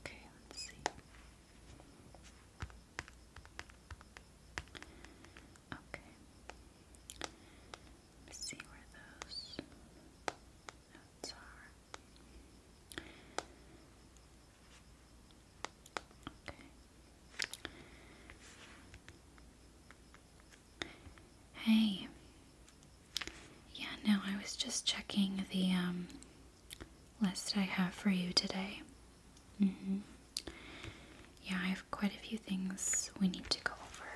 Okay, let's see. Okay. Let's see where those notes are. Okay. Hey, yeah, no, I was just checking the um, list I have for you today. Mm-hmm. Yeah, I have quite a few things we need to go over.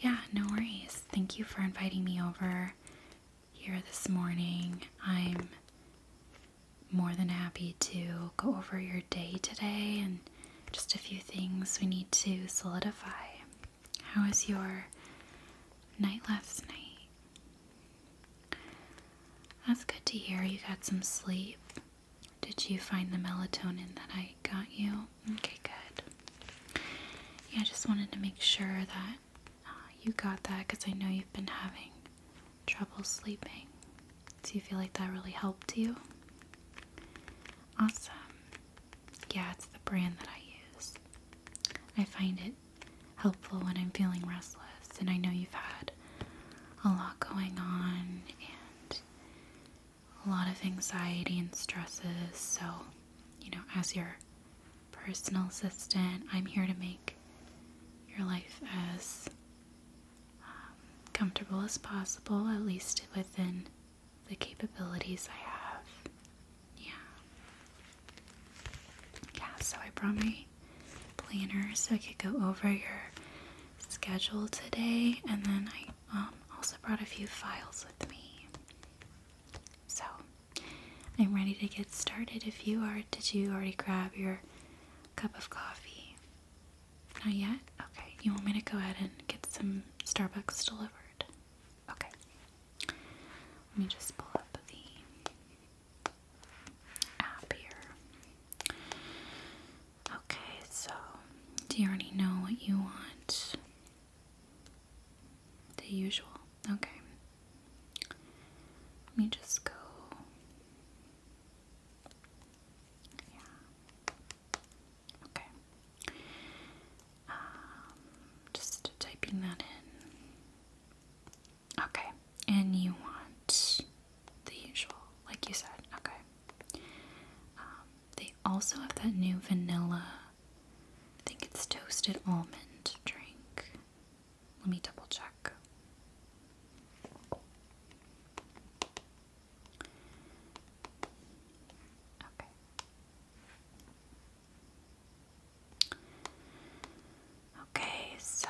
Yeah, no worries. Thank you for inviting me over here this morning. I'm more than happy to go over your day today and just a few things we need to solidify. How was your night last night? That's good to hear you got some sleep. Did you find the melatonin that I got you? Okay, good. Yeah, I just wanted to make sure that uh, you got that because I know you've been having trouble sleeping. Do you feel like that really helped you? Awesome yeah, it's the brand that I use. I find it helpful when I'm feeling restless, and I know you've had a lot going on and a lot of anxiety and stresses. So, you know, as your personal assistant, I'm here to make your life as um, comfortable as possible, at least within the capabilities I have. Yeah. Yeah, so I brought my planner so I could go over your schedule today, and then I um, also brought a few files with me. So I'm ready to get started. If you are, did you already grab your cup of coffee? Not yet? Okay, you want me to go ahead and get some Starbucks delivered? Okay. Let me just pull up the app here. Okay, so do you already know what you want? The usual. Okay. Let me just go. Yeah. Okay. Um, just typing that in. Okay. And you want the usual, like you said. Okay. Um, they also have that new vanilla, I think it's toasted almond drink. Let me double check. Okay. Okay, so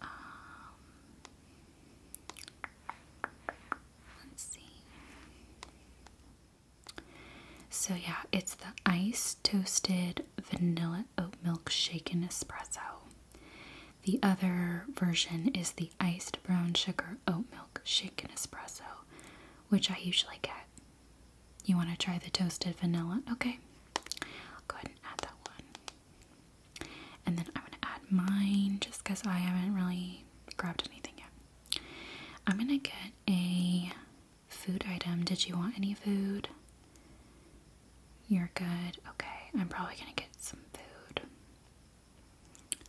um, let's see. So, yeah, it's the ice toasted vanilla oat milk shaken espresso. The other version is the iced brown sugar oat milk shaken espresso, which I usually get. You want to try the toasted vanilla? Okay. i go ahead and add that one. And then I'm going to add mine just because I haven't really grabbed anything yet. I'm going to get a food item. Did you want any food? You're good. Okay, I'm probably gonna get some food.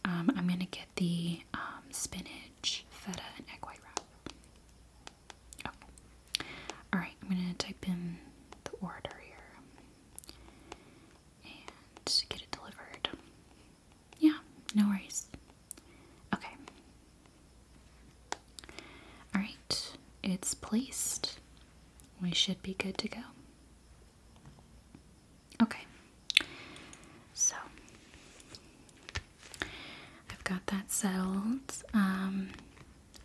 Um, I'm gonna get the um, spinach, feta, and egg white wrap. Okay. All right, I'm gonna type in the order here and get it delivered. Yeah, no worries. Okay. All right, it's placed we should be good to go. Okay, so I've got that settled. Um,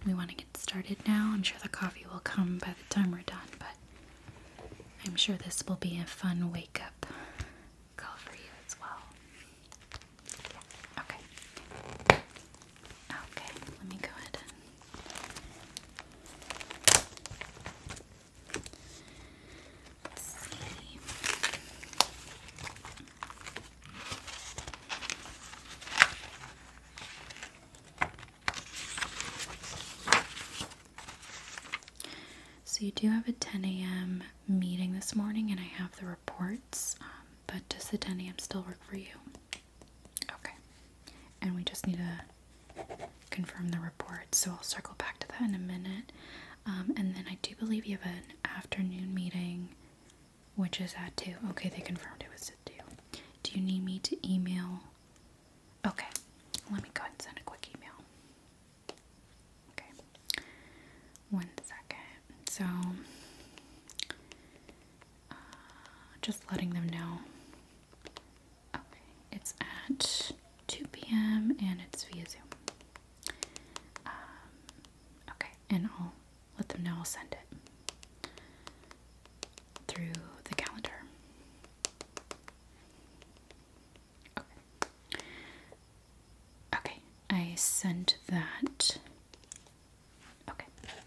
we want to get started now. I'm sure the coffee will come by the time we're done, but I'm sure this will be a fun wake up call for you as well. Yeah. Okay. Okay, let me go ahead and see. So, you do have a 10 a.m. meeting this morning, and I have the reports, um, but does the 10 a.m. still work for you? Okay. And we just need to confirm the report, so I'll circle back to that in a minute. Um, and then I do believe you have an afternoon meeting, which is at 2. Okay, they confirmed it was at 2. Do you need me to email? Okay, let me go and send a quick email. Okay, one second. So, uh, just letting them know. Okay, it's at 2 p.m. and it's via Zoom. Um, okay, and I'll let them know I'll send it through the calendar. Okay, I sent that Okay. Okay.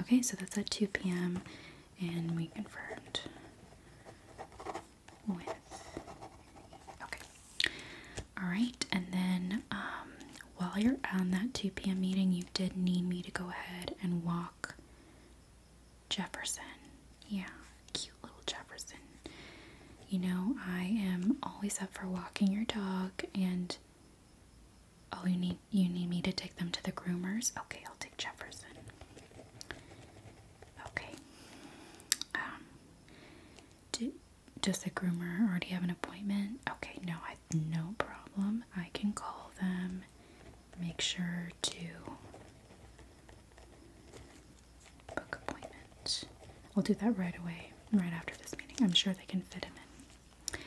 Okay, so that's at 2 p.m. and we confirmed okay. Alright, and then um, while you're on that 2 p.m. meeting, you did need me to go ahead and walk Jefferson. Yeah, cute little Jefferson. You know, I am always up for walking your dog and all oh, you need you need me to take them to the groomers? Okay, I'll take Jefferson. Okay. Um does the groomer already have an appointment? Okay, no, I no problem. I can call them, make sure to Book appointment. I'll do that right away, right after this meeting. I'm sure they can fit him in.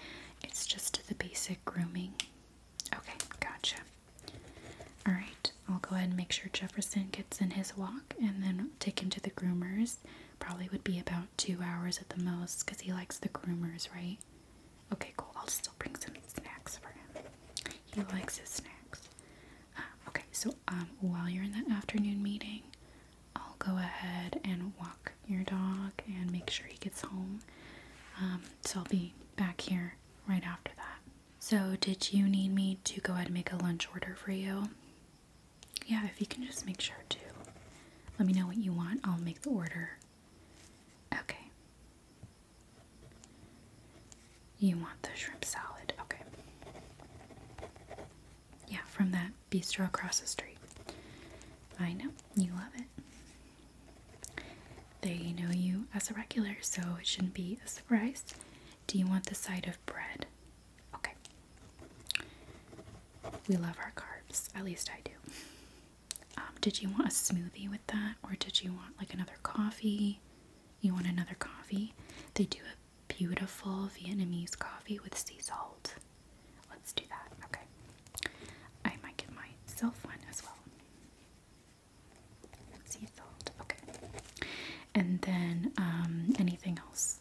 It's just the basic grooming. Okay, gotcha. Alright, I'll go ahead and make sure Jefferson gets in his walk and then take him to the groomers. Probably would be about two hours at the most because he likes the groomers, right? Okay, cool. I'll still bring some snacks for him. He likes his snacks. Um, okay, so um, while you're in that afternoon meeting, I'll go ahead and walk your dog and make sure he gets home. Um, so I'll be back here right after that. So, did you need me to go ahead and make a lunch order for you? Yeah, if you can just make sure to let me know what you want, I'll make the order. Okay. You want the shrimp salad. Okay. Yeah, from that bistro across the street. I know. You love it. They know you as a regular, so it shouldn't be a surprise. Do you want the side of bread? Okay. We love our carbs. At least I do. Um, did you want a smoothie with that? Or did you want like another coffee? You want another coffee? They do it beautiful Vietnamese coffee with sea salt. Let's do that. Okay. I might get myself one as well. Sea salt. Okay. And then um, anything else?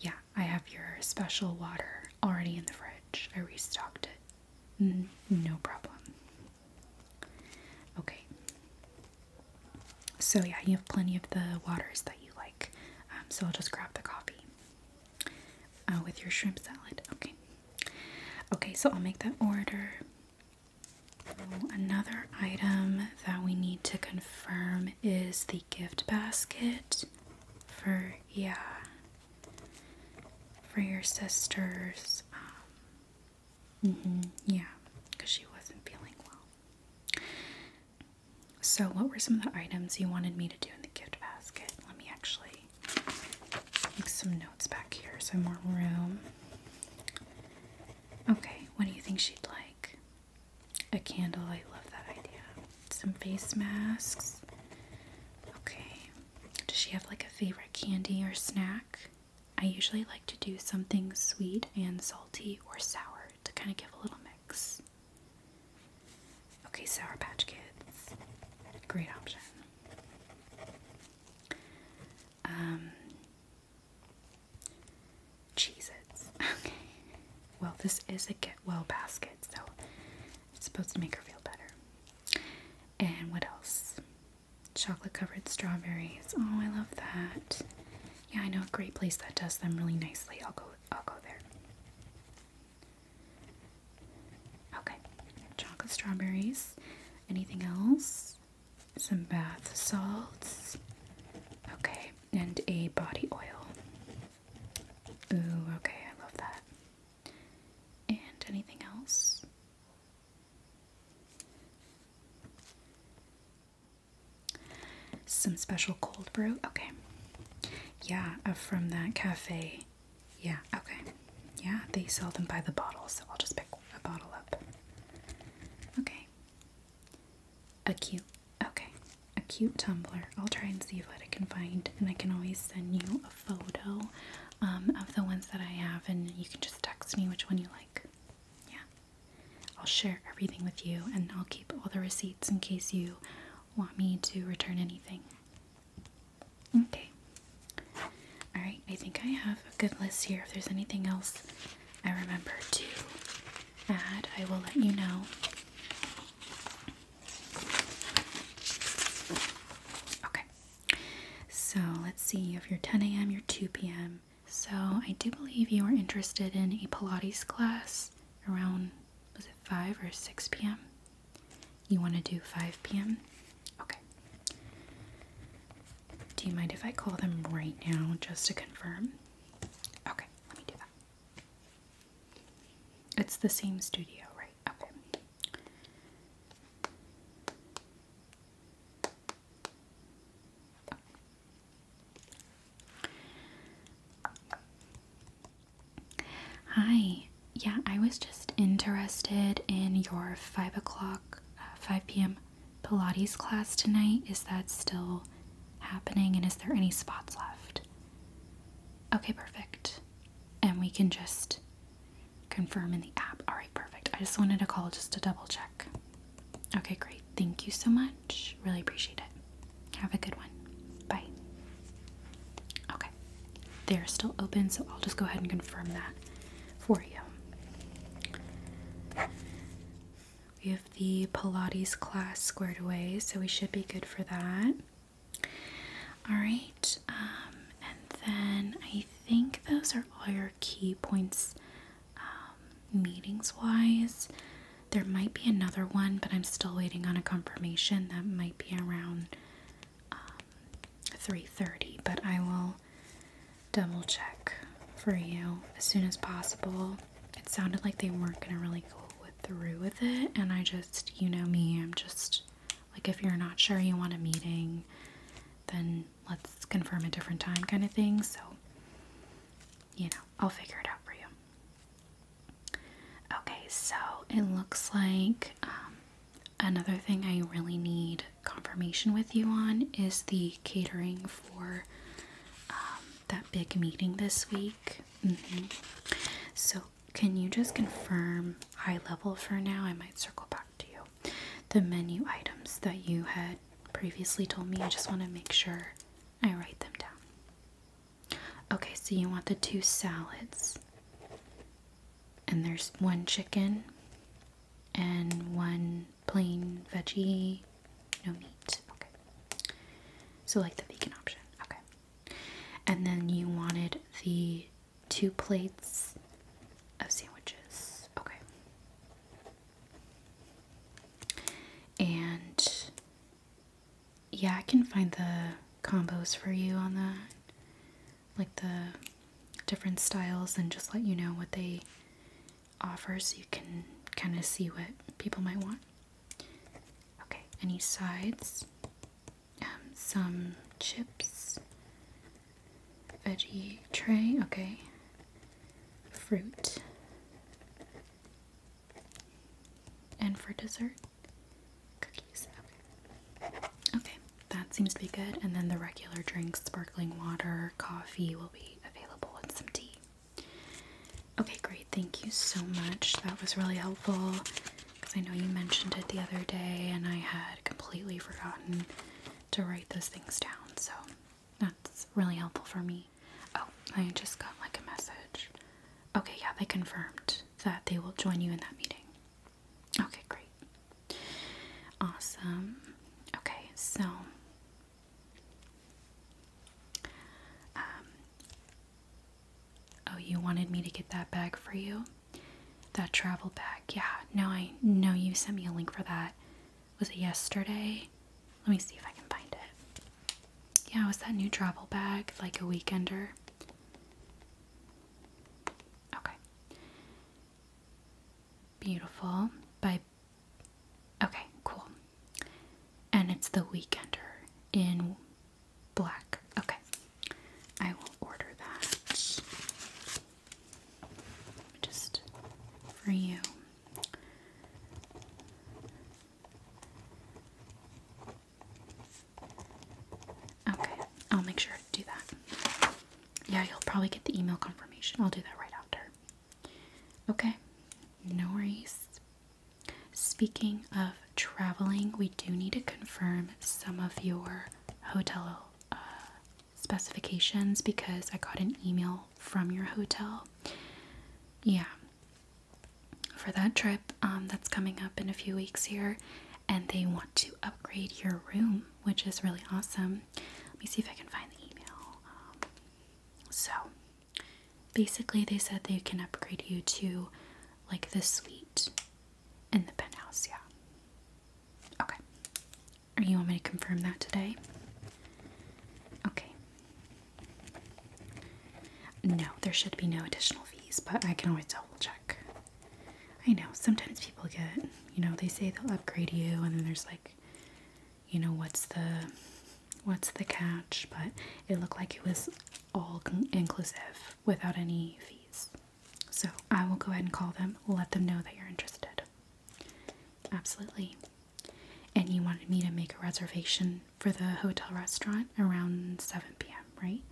Yeah, I have your special water already in the fridge. I restocked it. no problem. Okay. So, yeah, you have plenty of the waters that you like. Um, so, I'll just grab the coffee uh, with your shrimp salad. Okay. Okay, so I'll make that order. another item that we need to confirm is the gift basket for, yeah, for your sister's um, Mm-hmm. Yeah, because she wasn't feeling well. So, what were some of the items you wanted me to do in the gift basket? Let me actually make some notes back here, so more room. Okay, what do you think she'd like? A candle. I love that idea. Some face masks. Okay. Does she have like a favorite candy or snack? I usually like to do something sweet and salty or sour to kind of give a little mix. Okay, Sour Patch Kids. Great option. Um, Its. Okay. Well, this is a get well basket, so it's supposed to make her feel better. And what else? chocolate covered strawberries. Oh, I love that. Yeah, I know a great place that does them really nicely. I'll go I'll go there. Okay. Chocolate strawberries. Anything else? Some bath salts. Okay, and a body oil. Ooh, okay, I love that. And anything else? Some special cold brew. Okay. Yeah, uh, from that cafe. Yeah, okay. Yeah, they sell them by the bottle, so I'll just pick a bottle up. Okay. A cute. Okay. A cute tumbler. I'll try and see what I can find, and I can always send you a photo um, of the ones that I have, and you can just text me which one you like. Yeah. I'll share everything with you and I'll keep all the receipts in case you want me to return anything. Okay. Alright, I think I have a good list here. If there's anything else I remember to add, I will let you know. Okay. So let's see, If you are 10 a.m., you're 2 p.m., so I do believe you are interested in a Pilates class around was it 5 or 6 p.m.? You want to do 5 p.m.? Okay. Do you mind if I call them right now just to confirm? Okay, let me do that. It's the same studio, right? Okay. Hi. Yeah, I was just interested in your 5 o'clock, uh, 5 p.m. Pilates class tonight. Is that still happening and is there any spots left? Okay, perfect. And we can just confirm in the app. All right, perfect. I just wanted to call just to double check. Okay, great. Thank you so much. Really appreciate it. Have a good one. Bye. Okay. They're still open, so I'll just go ahead and confirm that for you. We have the Pilates class squared away, so we should be good for that. All right, um, and then I think those are all your key points um, meetings wise. There might be another one, but I'm still waiting on a confirmation. That might be around 3:30, um, but I will double check for you as soon as possible. It sounded like they weren't gonna really go through with it, and I just, you know me, I'm just like if you're not sure you want a meeting, then let's confirm a different time kind of thing. So, you know, I'll figure it out for you. Okay, so it looks like um, another thing I really need confirmation with you on is the catering for um, that big meeting this week. Mm-hmm. So, can you just confirm high level for now? I might circle back to you the menu items that you had previously told me. I just want to make sure I write them down. Okay, so you want the two salads, and there's one chicken and one plain veggie, no meat. Okay, so like the vegan option. Okay, and then you wanted the two plates of sandwiches. Okay. And yeah, I can find the combos for you on that, like the different styles, and just let you know what they offer so you can kind of see what people might want. Okay, any sides? Um, some chips, veggie tray, okay. Fruit. And for dessert, cookies. Okay. okay, that seems to be good. And then the regular drinks, sparkling water, coffee will be available, and some tea. Okay, great. Thank you so much. That was really helpful because I know you mentioned it the other day and I had completely forgotten to write those things down. So that's really helpful for me. Oh, I just got like a message. Okay, yeah, they confirmed that they will join you in that meeting. Okay, great. Awesome. Okay, so um, Oh, you wanted me to get that bag for you? That travel bag. Yeah. No, I know you sent me a link for that was it yesterday? Let me see if I can find it. Yeah, was that new travel bag, like a weekender. Okay. Beautiful. By Okay, cool. And it's the weekender in black. Okay. I will order that just for you. Okay, I'll make sure to do that. Yeah, you'll probably get the email confirmation. I'll do that right after. Okay, no worries. Speaking of traveling, we do need to confirm some of your hotel uh, specifications because I got an email from your hotel. Yeah. For that trip um, that's coming up in a few weeks here, and they want to upgrade your room, which is really awesome. Let me see if I can find the email. Um, so, basically, they said they can upgrade you to like the suite in the penthouse. Yeah. Okay. Or you want me to confirm that today? Okay. No, there should be no additional fees, but I can always double check. I know, sometimes people get, you know, they say they'll upgrade you and then there's like, you know, what's the what's the catch, but it looked like it was all inclusive without any fees. So, I will go ahead and call them, let them know that you're interested. Absolutely. And you wanted me to make a reservation for the hotel restaurant around 7 p.m., right?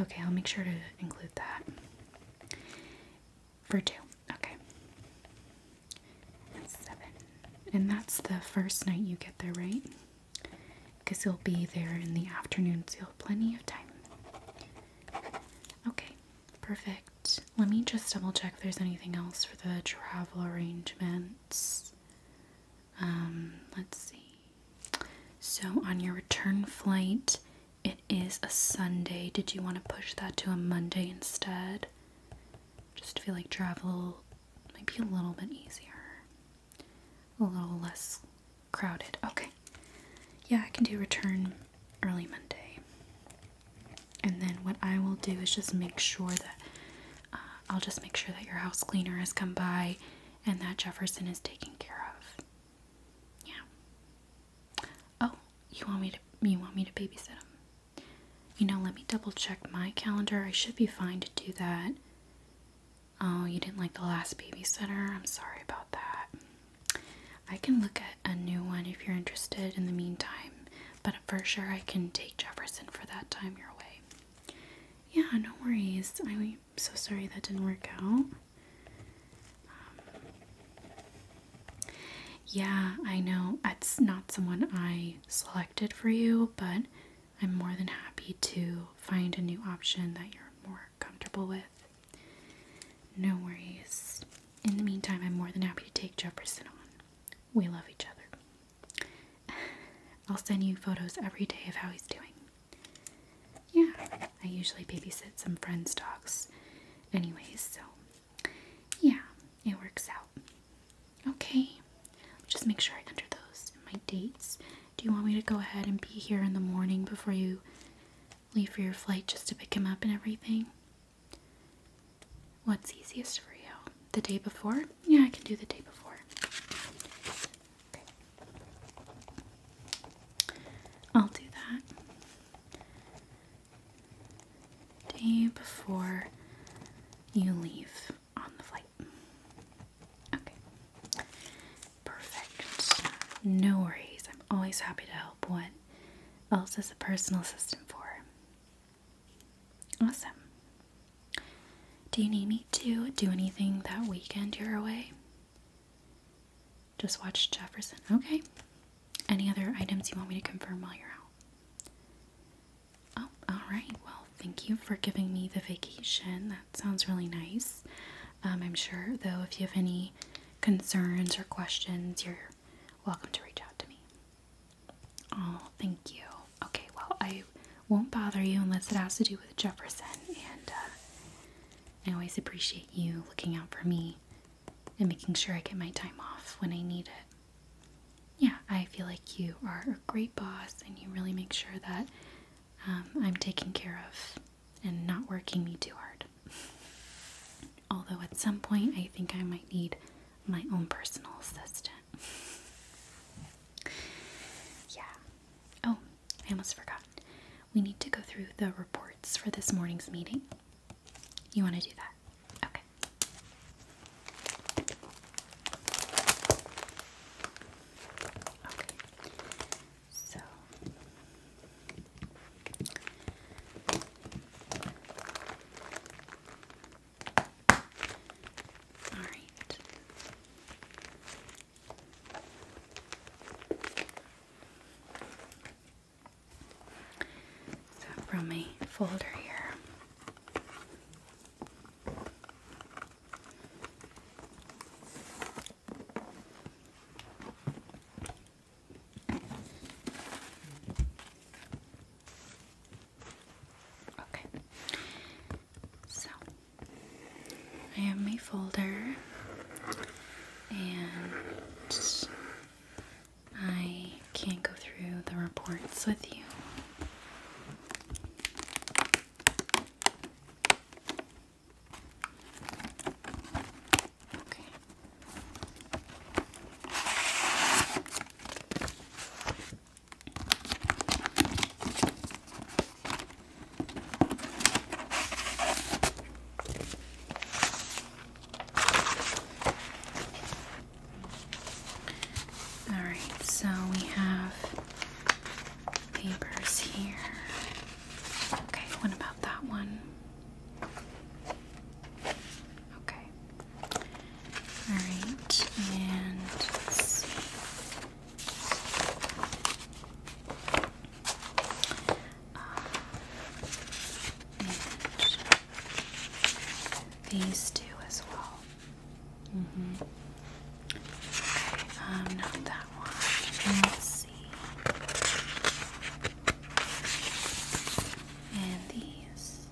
Okay, I'll make sure to include that. For two. Okay. That's seven. And that's the first night you get there, right? Because you'll be there in the afternoon, so you'll have plenty of time. Okay, perfect. Let me just double check if there's anything else for the travel arrangements. Um, let's see. So, on your return flight, it is a Sunday. Did you want to push that to a Monday instead? Just feel like travel might be a little bit easier, a little less crowded. Okay. Yeah, I can do return early Monday. And then what I will do is just make sure that uh, I'll just make sure that your house cleaner has come by and that Jefferson is taken care of. Yeah. Oh, you want me to you want me to babysit him? You know, let me double check my calendar. I should be fine to do that. Oh, you didn't like the last babysitter? I'm sorry about that. I can look at a new one if you're interested in the meantime, but for sure I can take Jefferson for that time your way. Yeah, no worries. I'm so sorry that didn't work out. Um, yeah, I know it's not someone I selected for you, but I'm more than happy to find a new option that you're more comfortable with. No worries. In the meantime, I'm more than happy to take Jefferson on. We love each other. I'll send you photos every day of how he's doing. Yeah, I usually babysit some friends' dogs, anyways, so yeah, it works out. Okay, just make sure I enter those in my dates. Do you want me to go ahead and be here in the morning before you leave for your flight just to pick him up and everything? What's easiest for you? The day before? Yeah, I can do the day before. I'll do that. Day before you leave on the flight. Okay. Perfect. No worries. I'm always happy to help. What else as a personal assistant for. Awesome. Do you need me to do anything that weekend you're away? Just watch Jefferson. Okay. Any other items you want me to confirm while you're out? Oh, alright. Well, thank you for giving me the vacation. That sounds really nice. Um, I'm sure, though, if you have any concerns or questions, you're welcome to reach out to me. Oh, thank you. Okay, well, I won't bother you unless it has to do with Jefferson, and uh, I always appreciate you looking out for me and making sure I get my time off when I need it. Yeah, I feel like you are a great boss, and you really make sure that um, I'm taken care of and not working me too hard. Although at some point I think I might need my own personal assistant. yeah. Oh, I almost forgot. We need to go through the reports for this morning's meeting. You want to do that? Okay. Okay. So all right. So from my folder here. Okay. So I have my folder and I can't go through the reports with you. Okay. All right, so we have papers here. Okay, what about that one? Okay. All right, uh, and these two as well. hmm Okay, um, not that one. And these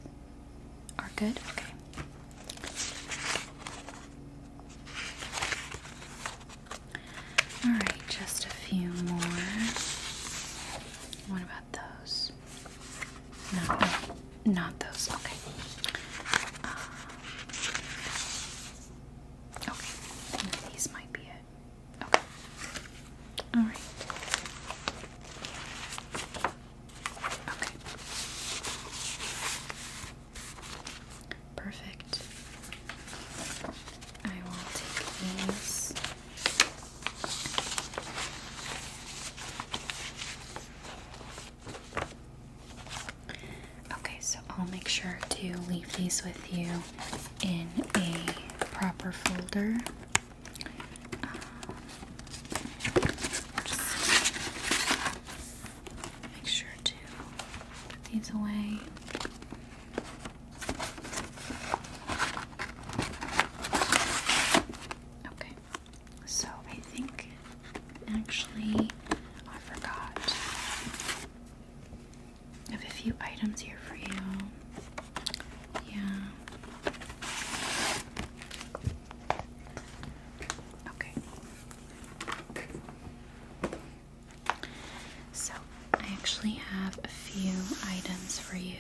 are good? Okay. Alright, just a few more. What about those? No, not those. Okay. Uh, okay, these might be it. Okay. All right. Okay. Perfect. I will take these. Okay, so I'll make sure to leave these with you in a proper folder. Uh, make sure to put these away. Okay, so I think actually I forgot. I have a few items here for you. Yeah. Okay. So, I actually have a few items for you.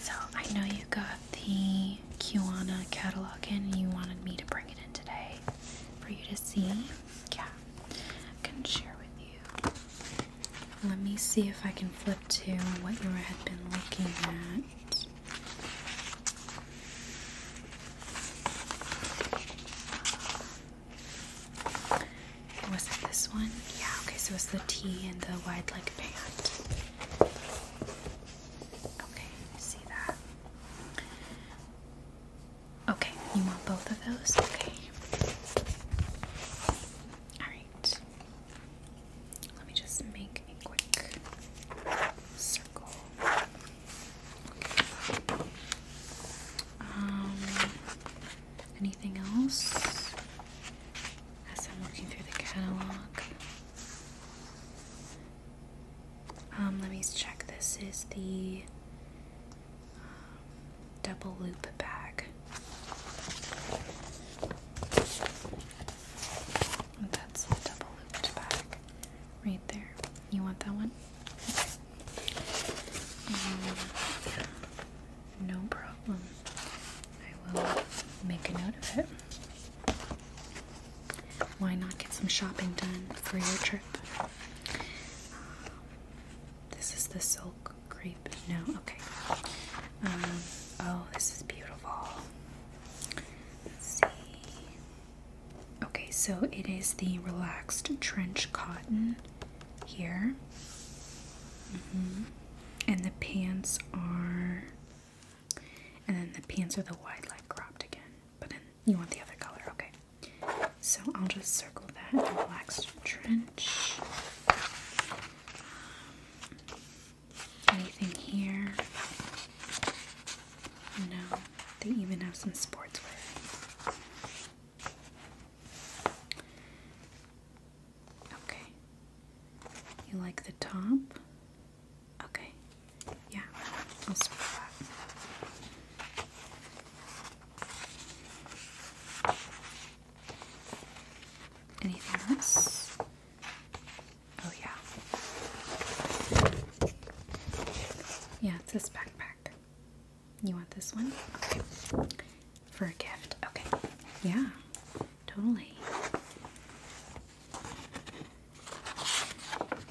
So, I know you got the Kiwana catalog in and you wanted me to bring it in today for you to see. Yeah. I can share with you. Let me see if I can flip to what you had been looking at. Was it this one? Yeah, okay, so it's the T and the wide leg pant. Okay, see that? Okay, you want both of those? Okay. Alright. Let me just make a quick circle. Um, anything else? As I'm working through the catalog. Um, let me check. This is the double loop bag. That's the double looped bag right there. You want that one? no problem. I will make a note of it. Why not get some shopping done for your trip? this is the silk grape? No? Okay. Um, oh, this is beautiful. see. Okay, so it is the relaxed trench cotton here. Mm-hmm. And the pants are. And then the pants are the wide leg cropped again. But then you want the other color. Okay. So I'll just circle that relaxed trench anything here? No. They even have some sportswear. Okay. You like the top? Okay. Yeah. Anything else? Oh, yeah. Yeah, it's this backpack. You want this one? Okay. For a gift. Okay. Yeah, totally.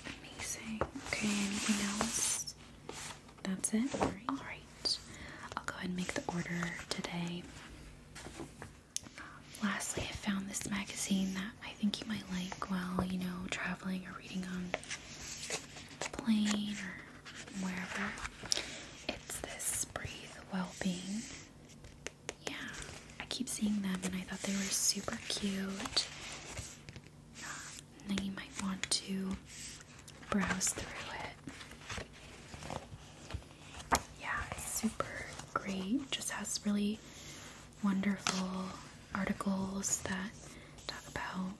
Amazing. Okay, anything else? That's it? Alright. I'll go ahead and make the order today. lastly, I found this magazine that I think you might like while, you know, traveling or reading on plane or wherever. It's this Breathe Wellbeing. Yeah, I keep seeing them and I thought they were super cute. Um, you might want to browse through it. Yeah, it's super great. Just has really wonderful articles that talk about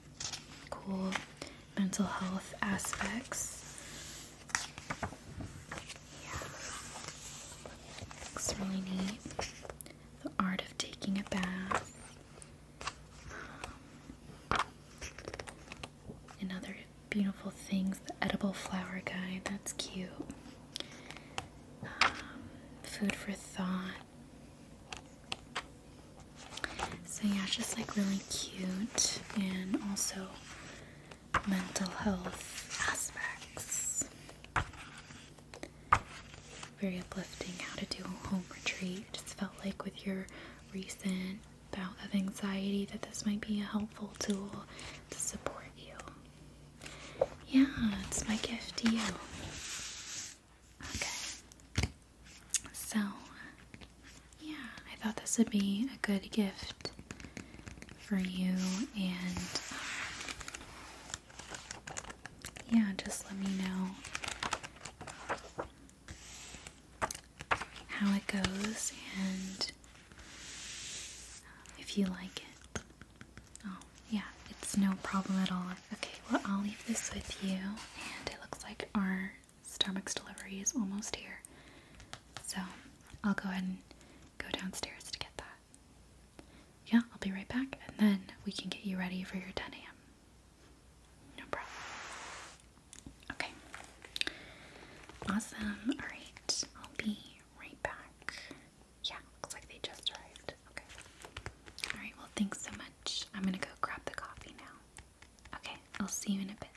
cool mental health aspects. Yeah, looks really neat. The art of taking a bath. Um, and other beautiful things. The edible flower guide, that's cute. Um, food for thought. So yeah, it's just like really cute and also mental health aspects. Very uplifting how to do a home retreat. Just felt like with your recent bout of anxiety that this might be a helpful tool to support you. Yeah, it's my gift to you. Okay. So, yeah, I thought this would be a good gift for you and um, yeah, just let me know how it goes and um, if you like it. Oh, yeah, it's no problem at all. Okay, well, I'll leave this with you, and it looks like our Starbucks delivery is almost here. So I'll go ahead and go downstairs to get that. Yeah, I'll be right back, and then we can get you ready for your 10 a.m. No problem. Okay. Awesome. Alright, I'll be right back. Yeah, looks like they just arrived. Okay. Alright, well, thanks so much. I'm gonna go grab the coffee now. Okay, I'll see you in a bit.